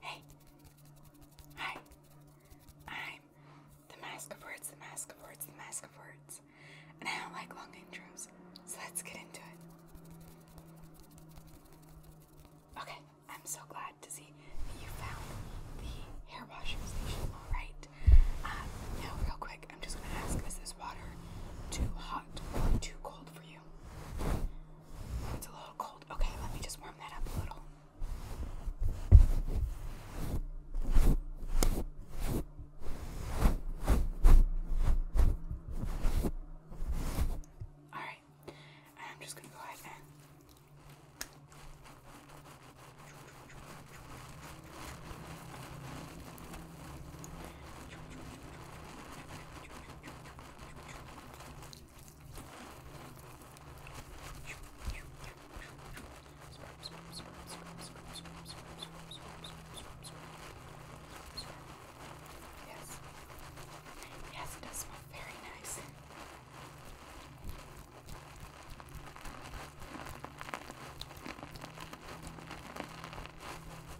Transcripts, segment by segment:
Hey, hi. I'm the Mask of Words, the Mask of Words, the Mask of Words, and I don't like long intros, so let's get into it. Okay, I'm so glad to see that you found the hair washer station. All right. Um, real quick. I'm just gonna ask, is this water too hot or too cold for you? It's a little cold. Okay, let me just warm that up a little. Alright, I'm just gonna go ahead and Yes. Yes, it does smell very nice.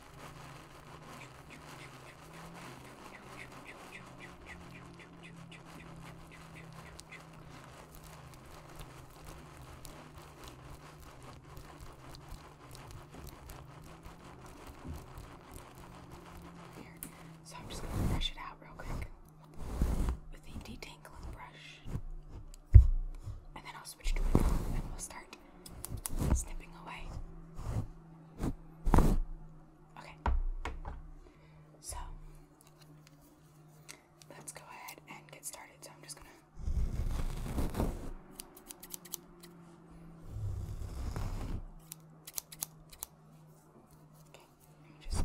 Here. So I'm just gonna brush it out real quick with the detangling brush. And then I'll switch to a comb and we'll start snipping away. Okay. So let's go ahead and get started. So I'm just gonna. Okay, just.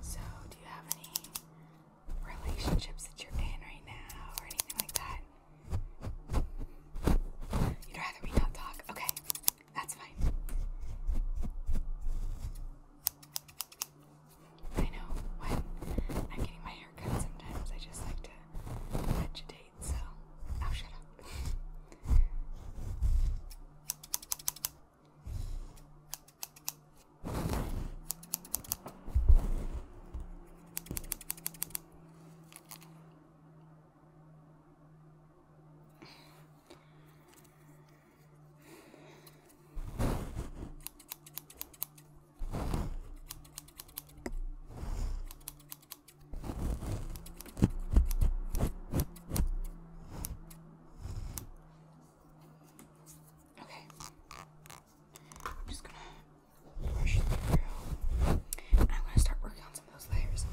So, do you have any relationships that you're in right now or anything like that? You'd rather we not talk? Okay, that's fine. I know when I'm getting my hair cut sometimes I just like to touch so I'll oh, shut up. Okay. I'm just gonna brush through. And I'm gonna start working on some of those layers.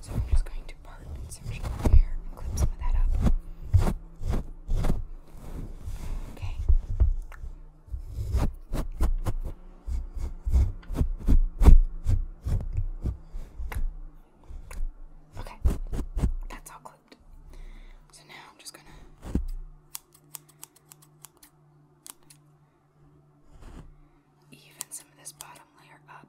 So I'm just going to part and section my hair and clip some of that up. Okay. Okay, that's all clipped. So now I'm just gonna. Even some of this bottom layer up.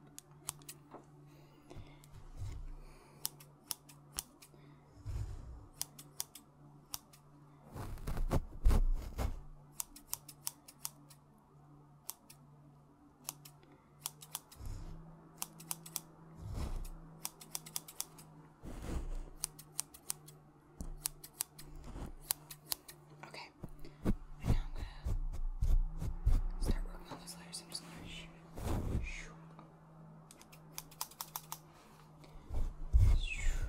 Okay, and now I'm gonna start working on those letters. I'm just gonna shoot it. Shoot. Shoot.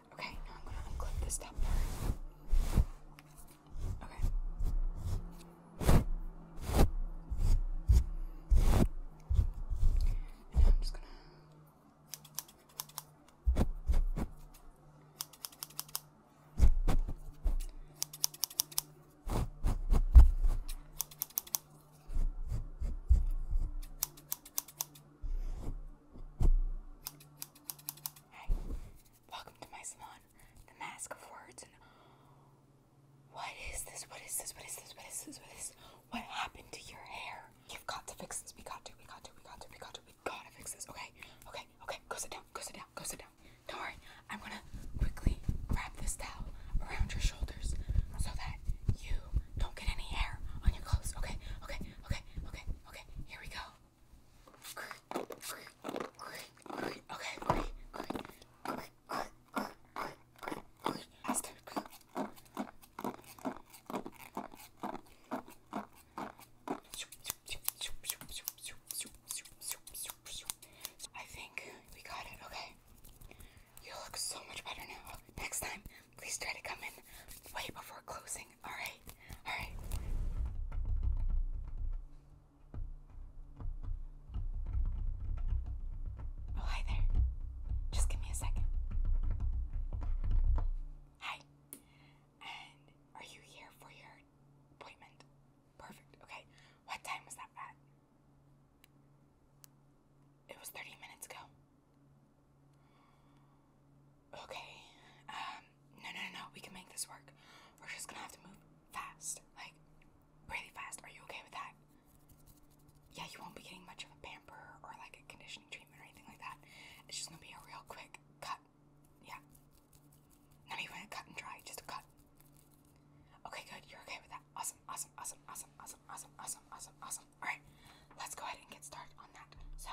Okay, now I'm gonna unclip this top part. Okay. now I'm just gonna. Hey, welcome to my salon. The mask of words what is this? What is this? What is this? What is this? What is this? What happened to your hair? You've got to fix this. We got to. We got to. We got to. We got to. We gotta fix this. Okay. Okay. Okay. Go sit down. Go sit down. Go sit down. Don't worry. I'm gonna quickly wrap this towel around your shoulders so that you don't get any hair on your clothes. Okay. Okay. Okay. Okay. Okay. Here we go. Okay, okay, okay, okay. I think we got it. Okay. You look so much better now. Next time, Please try to come in way before closing. All right. All right. Oh, hi there. Just give me a second. Hi. And are you here for your appointment? Perfect. Okay. What time was that at? It was 30 minutes ago okay, um, no, no, no, no, we can make this work. We're just gonna have to move fast, like really fast. Are you okay with that? Yeah, you won't be getting much of a pamper or like a conditioning treatment or anything like that. It's just gonna be a real quick cut. Yeah. Not even a cut and dry, just a cut. Okay, good. You're okay with that. Awesome, awesome, awesome, awesome, awesome, awesome, awesome, awesome, awesome. All right, let's go ahead and get started on that. So,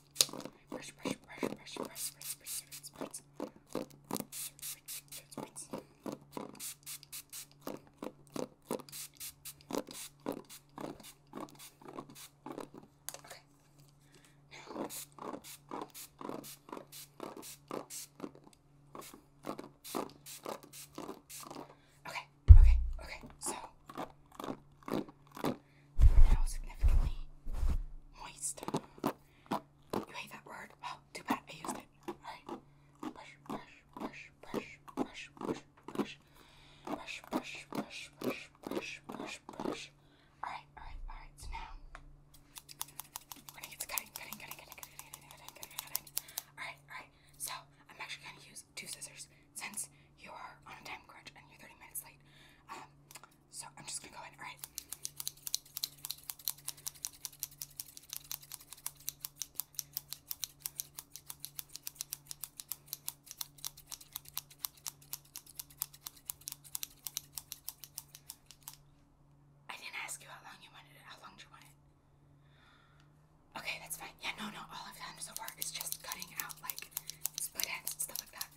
brush, brush, brush, brush, brush, brush, brush, brush, brush, brush, Okay. Now, okay, okay, okay, so you're significantly moist. You hate that word? Well, too bad I used it. Alright. Brush, brush, brush, brush, brush, brush, brush, brush, brush, brush, brush, brush, brush, Alright, alright, alright. So now we're gonna get cutting, cutting, cutting, cutting, cutting, cutting, cutting, cutting, cutting. Alright, alright. So I'm actually gonna use two scissors since you are on a time crunch and you're 30 minutes late. Um, so I'm just gonna go in. All right. I didn't ask you how long you wanted it. How long do you want it? Okay, that's fine. Yeah, no, no. All I've done so far is just cutting out like split ends and stuff like that.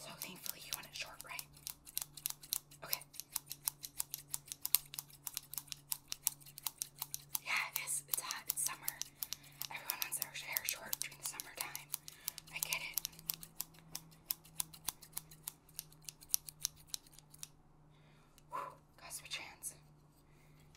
So thankfully you want it short, right? Okay. Yeah, it is. It's hot. Uh, it's summer. Everyone wants their hair short during the summertime. I get it. Whew, got hands.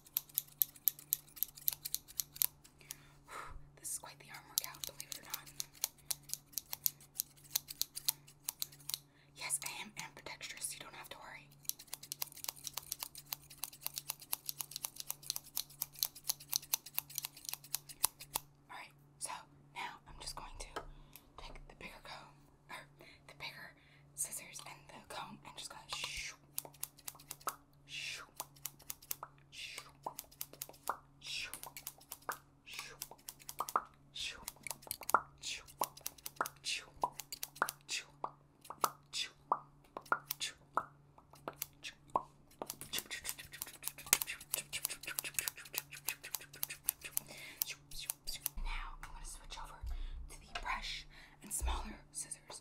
This is quite the arm workout, believe it or not. Yes, I am ambidextrous, you don't have to worry. Alright, so now I'm just going to take the bigger comb, or the bigger scissors and the comb and just gonna shoo, shoo, shoo, shoo, shoo, shoo, shoo, shoo, shoo, shoo, shoo. Now I'm going to switch over to the brush and smaller scissors.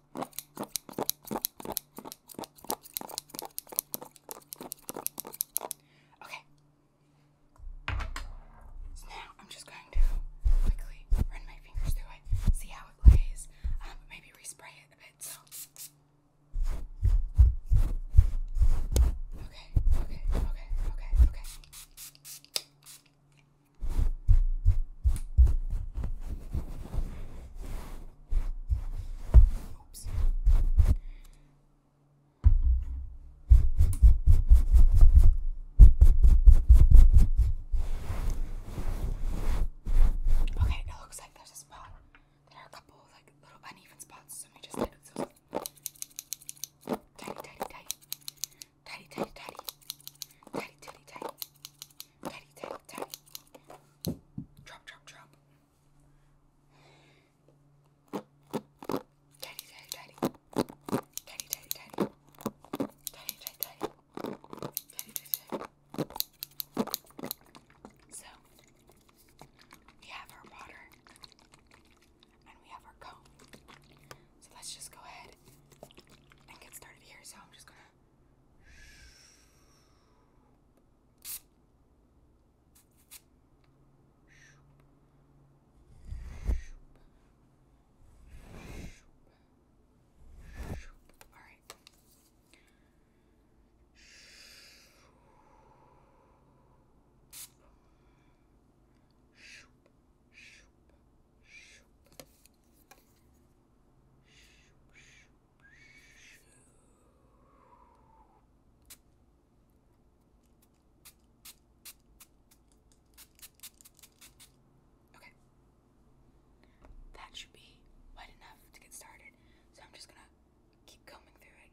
Okay. So now I'm just going to quickly run my fingers through it, see how it lays, um, maybe respray it a bit. So. Okay, okay, okay, okay, okay. Okay, Oops. Okay, it looks like there's a spot. There are a couple of, like little uneven spots, so let me just tighten so tidy, tidy, tidy, tidy, tidy, tidy, tidy, tidy, tidy, tidy, Teddy, teddy, teddy. Drop, drop, drop. Teddy, teddy, teddy. Teddy, teddy, teddy. Teddy, teddy, teddy. So, we have our water and we have our comb. So let's just go ahead and get started here. So I'm just gonna all right. Shoop, shoop, shoop. Shoop, shoop, Okay. That should be wet enough to get started. So I'm just gonna keep combing through it.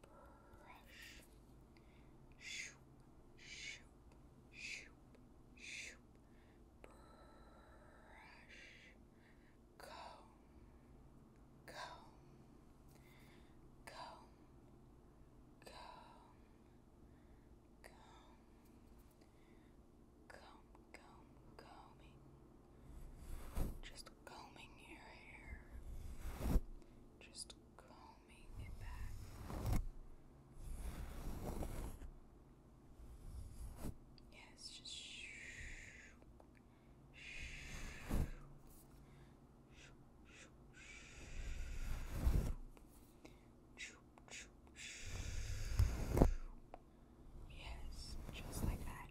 brush, brush, shoop, shoop, shoop, shoop, brush, comb, comb, comb, comb, comb, comb, combing. Just combing your hair. Just combing it back. Yes, just shoo, shoo, shoo, shoo, shoo, shoo. Yes, just like that.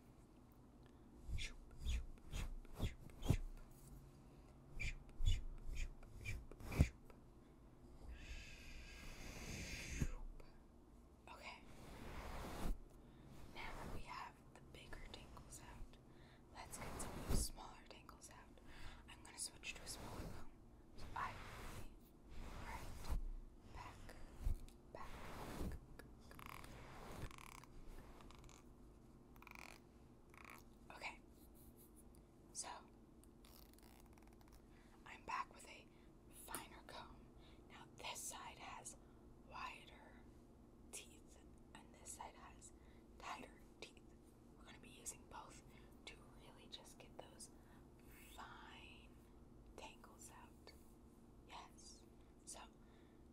Okay. Now that we have the bigger tangles out, let's get some of those smaller tangles out. I'm gonna switch to a smaller comb. So I right back. Okay, so I'm back with a finer comb. Now, this side has wider teeth, and this side has tighter teeth. We're going to be using both to really just get those fine tangles out. Yes, so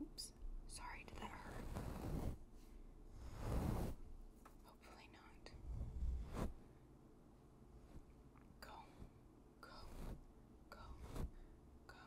Oops, sorry, did that hurt? Hopefully not. Go, go, go, go,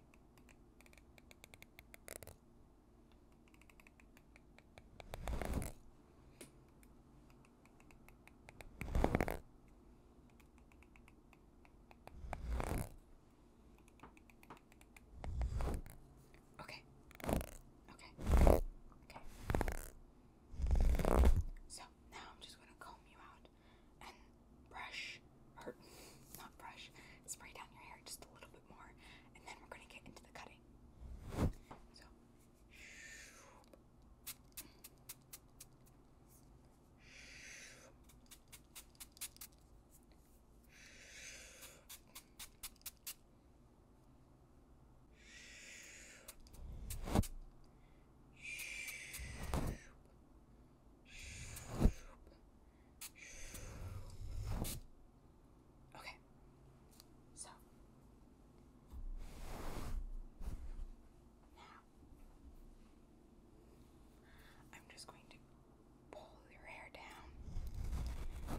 Okay. Okay. Okay. So now I'm just going to comb you out and brush, or not brush, spray down your hair just a little bit more, and then we're going to get into the cutting. So, Okay. So now I'm just going to pull your hair down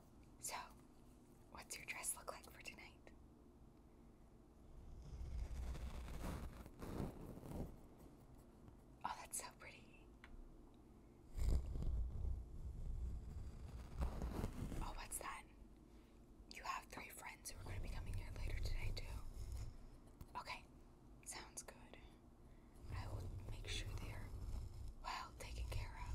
So, what's your dress look like for tonight? Oh, that's so pretty. Oh, what's that? You have three friends who are going to be coming here later today, too. Okay, sounds good. I will make sure they're well taken care of.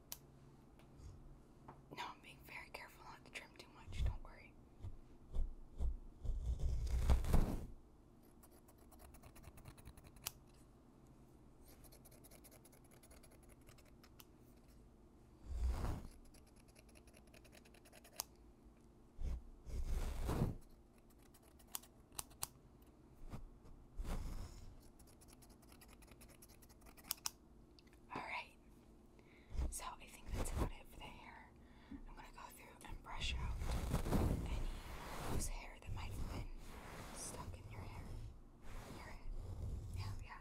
No, I'm being very careful not to trim too much, don't worry. Alright, so I think that's about it for the hair. I'm gonna go through and brush out any loose hair that might have been stuck in your hair. Yeah, yeah,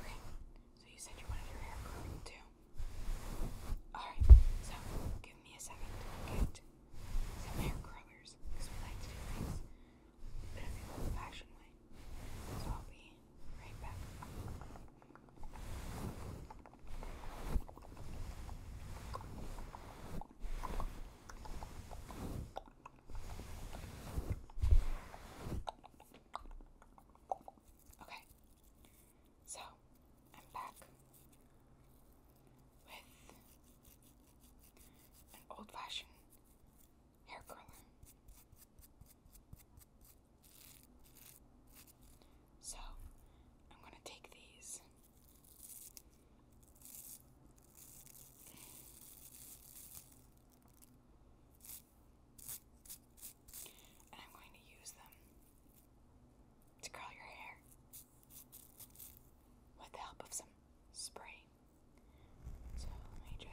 Okay, so you said you wanted your hair curled too. Alright, so give me a second get some hair curlers we like to do things a bit of the old fashioned way. So I'll be right back. Okay, so I'm back with an old fashioned hair curler. So I'm going to take these. And I'm going to use them to curl your hair with the help of some spray. So let me just.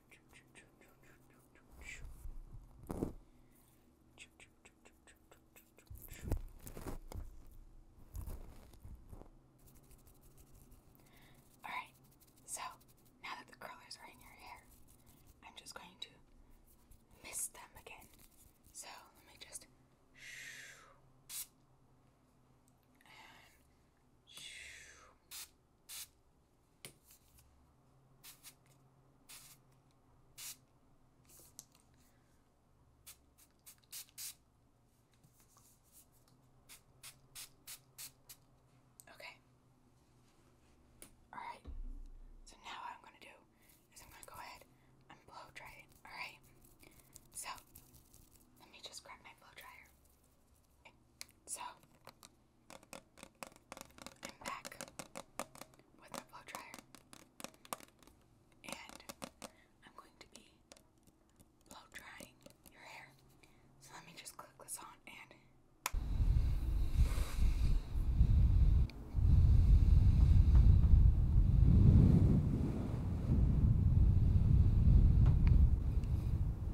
Alright, so now that the curlers are in your hair, I'm just going to mist them again. So let me just. Okay. All right. So now what I'm going to do is I'm going to go ahead and blow dry it. All right. So let me just grab my blow dryer. So I'm back with the blow dryer. And I'm going to be blow drying your hair. So let me just click this on and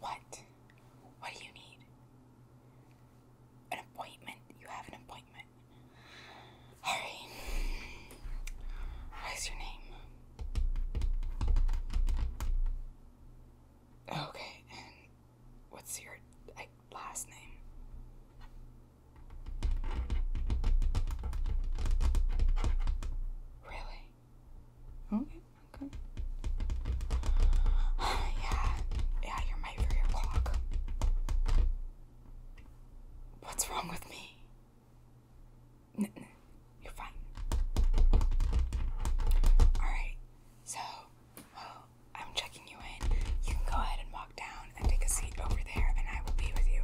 What? What do you need? An appointment? You have an appointment. Alright. What is your name? Okay, what's your last name? Really? Okay, okay. yeah, yeah, you're my for clock. What's wrong with me? you're fine. Alright, so I'm checking you in. You can go ahead and walk down and take a seat over there, and I will be with you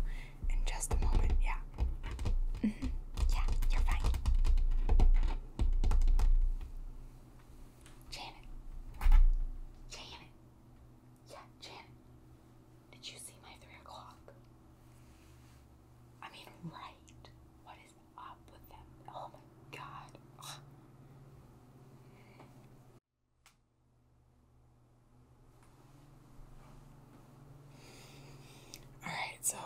in just a moment. Yeah. Mm-hmm. Yeah, you're fine. Janet. Janet. Yeah, Janet. Did you see my three o'clock? I mean, right. What is up with them? Oh my god. Alright, so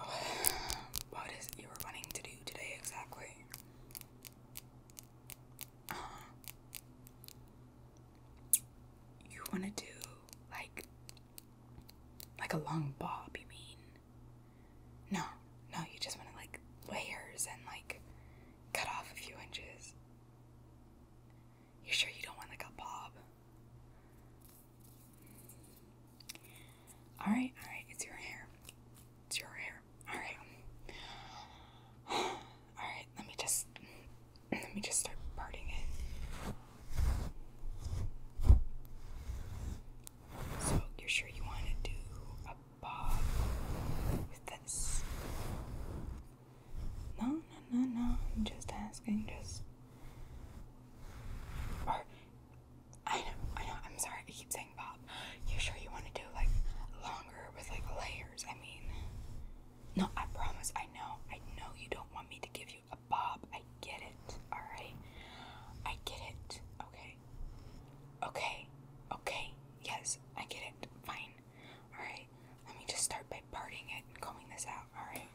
what is it you were wanting to do today exactly? Uh, you want to do like like a long bob, you mean? No, no, you just want to like layers and like cut off a few inches. You sure you don't want like a bob? All right, all right, it's your hair. It's your hair. All right. All right, let me just let me just start parting it. So, you're sure you want to do a bob with this? No, no, no, no. I'm just asking just I know, I know, I'm sorry, I keep saying Bob. You sure you want to do like longer with like layers? I mean, no, I promise, I know, I know you don't want me to give you a bob. I get it, alright? I get it, okay? Okay, okay, yes, I get it, fine. Alright, let me just start by parting it and combing this out, alright?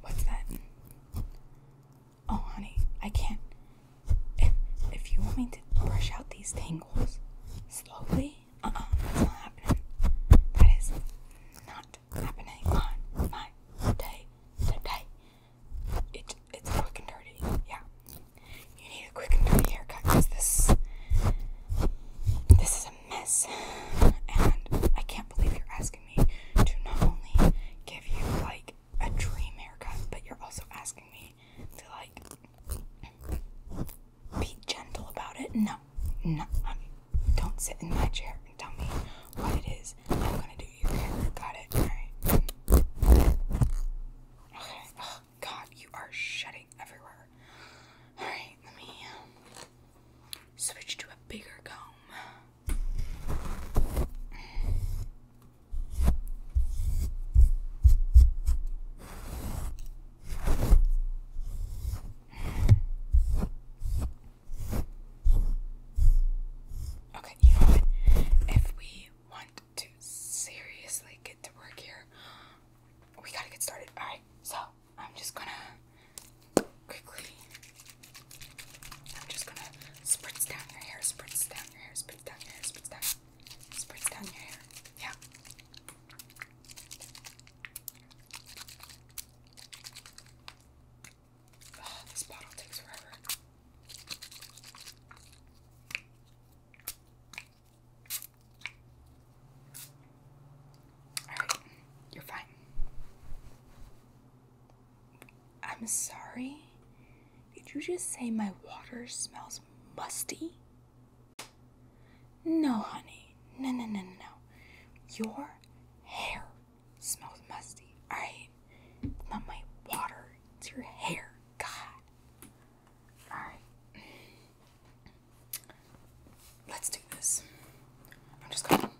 What's that? Oh, honey, I can't. If, if you want me to brush out these tangles slowly, uh oh, not happening. That is not happening on my day today. It, it's quick and dirty. Yeah. You need a quick and dirty haircut because this, this is a mess. And I can't believe you're asking me to not only give you like a dream haircut, but you're also asking me to like be gentle about it. No, no, I mean, don't sit in my chair and tell me what it is. I'm gonna do your hair. Got it? Alright. Okay. Oh, God, you are shedding everywhere. Alright, let me um, switch to a bigger comb. Okay, If we want to seriously get to work here, we gotta get started. Alright, so I'm just gonna quickly. I'm just gonna spritz down your hair, spritz down your hair, spritz down your hair, spritz down your hair. Yeah. Ah, this bottle takes forever. you're fine. I'm sorry. Did you just say my water smells musty? No, honey. No, no, no, no. Your hair smells musty, alright? not my water, it's your hair. God. Alright. Let's do this. I'm just gonna.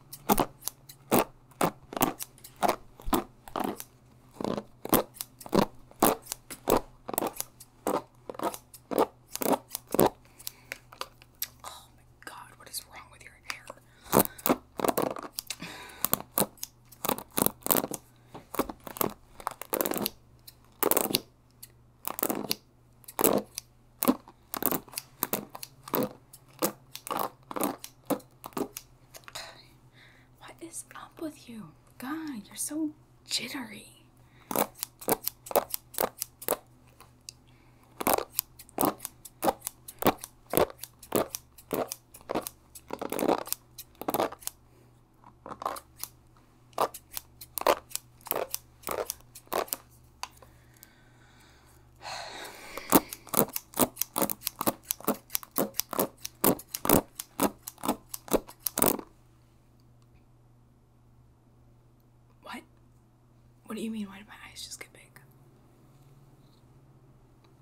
Oh my god, what is wrong with your hair? What is up with you? God, you're so jittery. What? What do you mean? Why did my eyes just get big?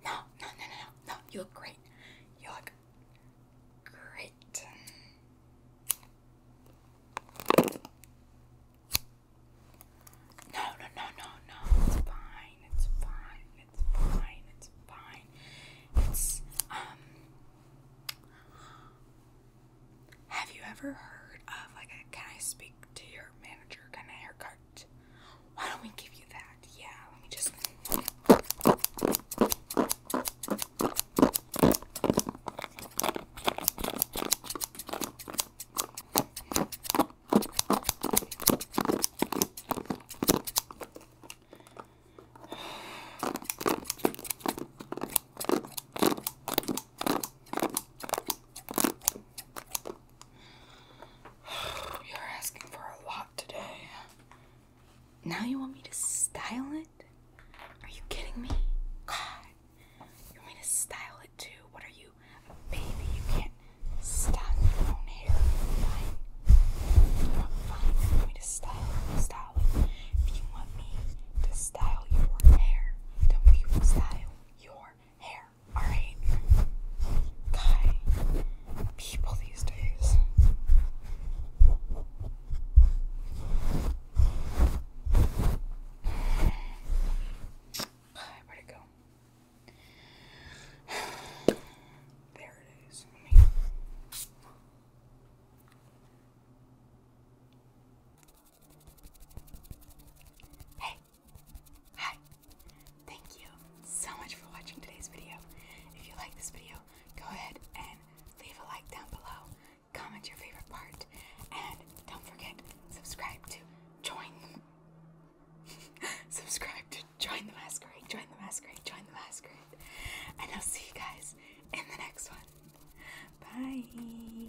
No, no, no, no, no. you look great. You look great. No, no, no, no, no. It's fine. It's fine. It's fine. It's fine. It's um have you ever heard of like a can I speak to your manager kind of haircut? Why don't we give you that? Yeah, let me just. You're asking for a lot today. Now you want me to style it? Are you kidding me? God, you want me to style it too? What are you, baby? You can't style your own hair. Fine, fine. You want me to Style stylist. If you want me to style your hair, then we will style your hair. Alright? Guy, people these days. Where'd it go? There it is. Hey! Hi! Thank you so much for watching today's video. If you like this video, go ahead and leave a like down below, comment your favorite part, and don't forget, subscribe to join subscribe to join the masquerade, join the masquerade, join the masquerade and I'll see you guys in the next one. Bye.